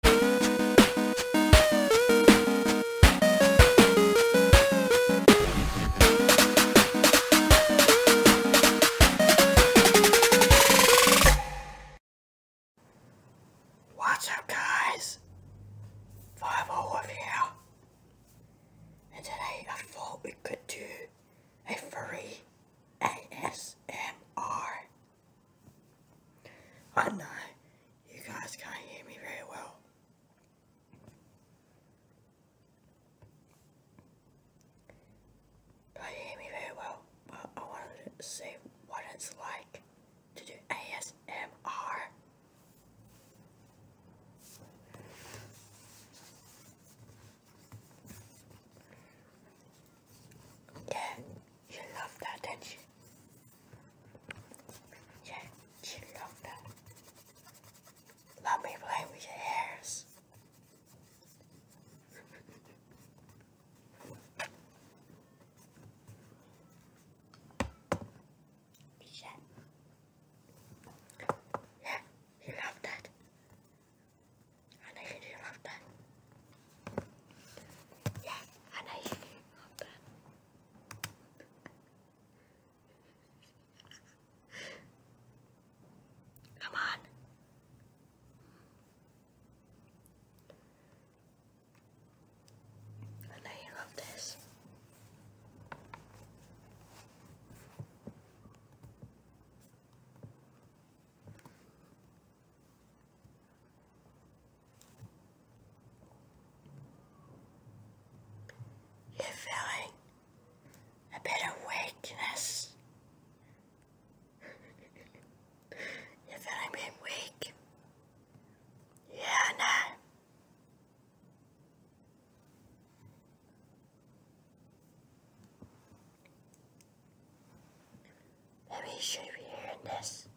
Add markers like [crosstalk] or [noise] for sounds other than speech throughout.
What's up guys? Five Olive oh here. And today I thought we could do a furry ASMR I know you guys can't hear me very well. Can't hear me very well, but I wanted to see what it's like to do ASMR. Yeah, you love that, don't you? Yeah, you love that. Love me playing with your hairs. Yeah. Yeah, you love that and I really love that. Yeah, and I really love that. Come on. And I love this. You're feeling a bit of weakness. You're feeling a weak. Yeah, no. Maybe you should be hearing this.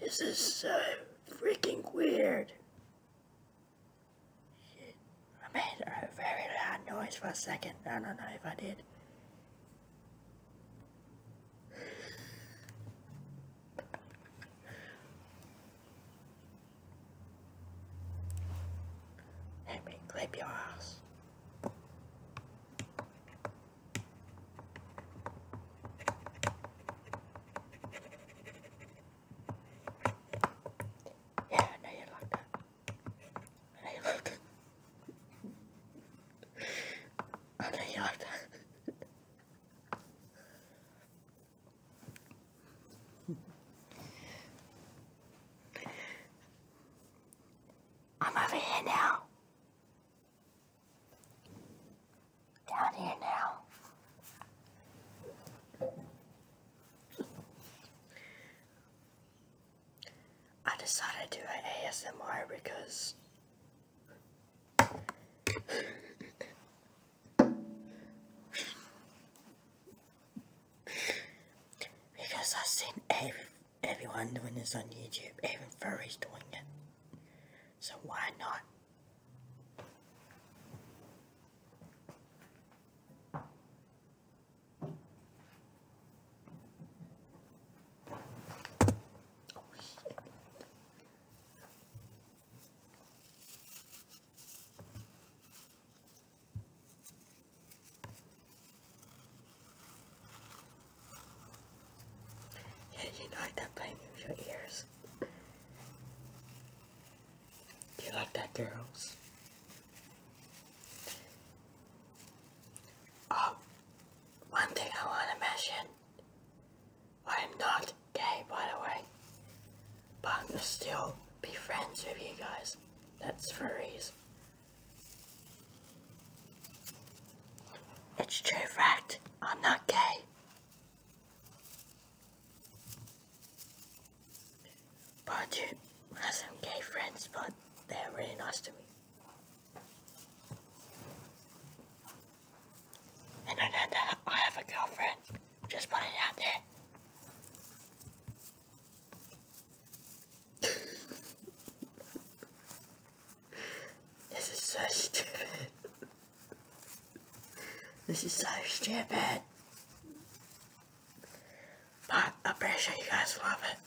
This is so freaking weird. I made a very loud noise for a second. I don't know if I did. Let me clip your ass. Yeah, I know you like that. I know you like that. I know you like that. I'm over here now down here now. I decided to do an ASMR because because I've seen every, everyone doing this on YouTube, even furries doing it. So why not? Yeah, you know I kept playing your ears. Do you like that, girls? Oh, one thing I want to mention. I am not gay, by the way. But I'm still be friends with you guys. That's for furries. It's true fact. I'm not gay. I have some gay friends, but they're really nice to me. And I know that I have a girlfriend. Just put it out there. This is so stupid. this is so stupid. But I'm sure you guys love it.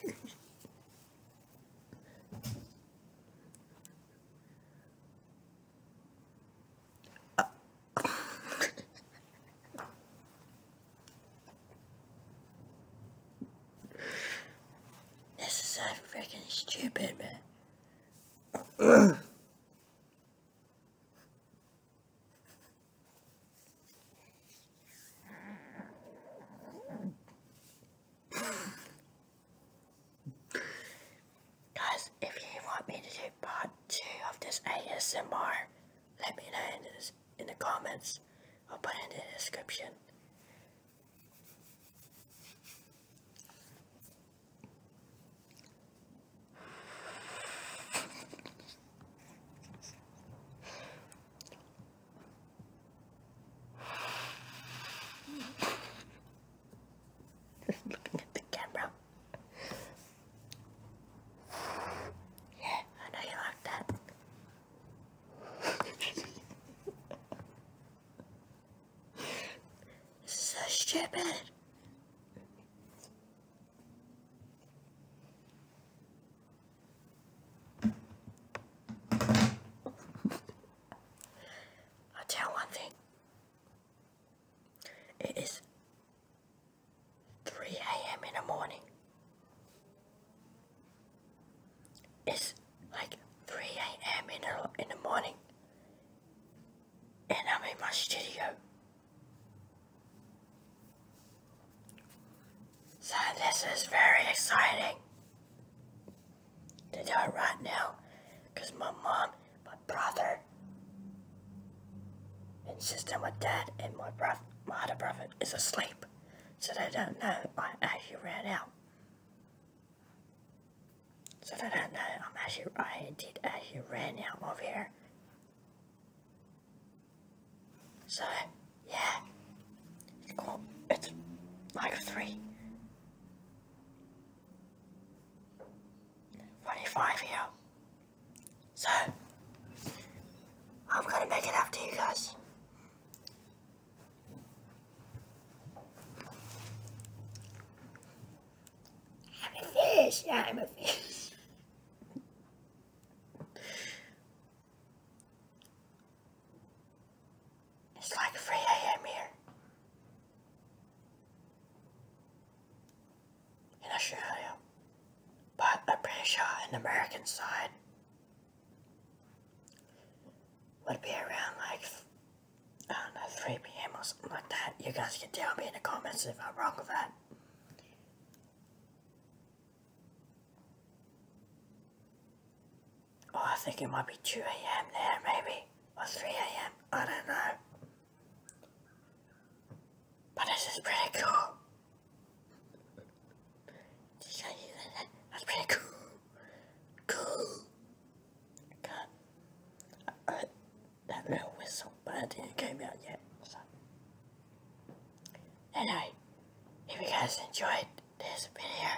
[laughs] [laughs] this is so freaking stupid, man. Guys, if you want me to do part 2 of this ASMR, let me know in, this, in the comments or put in the description. Just looking at the camera. Yeah, I know you like that. [laughs] so stupid i tell one thing. It is 3 a.m. in the morning. It's like 3 a.m. In the, in the morning. And I'm in my studio. So this is very exciting to do it right now because my mom, my brother, and sister, my dad, and my brother, my other brother is asleep. So they don't know I actually ran out. So they don't know I'm actually, I did actually ran out of here. So, yeah. it's like three 45 here. So, I'm gonna make it up to you guys. I'm a fish, I'm a fish. It's like 3 a.m. here. In Australia. But I'm pretty sure on American side would be around like I don't know, 3 p.m. or something like that. You guys can tell me in the comments if I'm wrong with that. Oh, I think it might be 2 a.m. there, maybe. Or 3 a.m. I don't know. But this is pretty cool. Did you hear that? That's pretty cool. Cool. God. Uh, that little whistle, but it didn't came out yet. So. Anyway, if you guys enjoyed this video,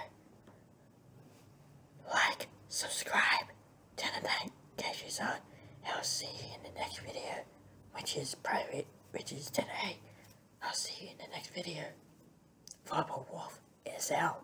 like, subscribe, turn the notifications on, I'll see you in the next video, which is private, which is today. I'll see you in the next video. Viper Wolf is out.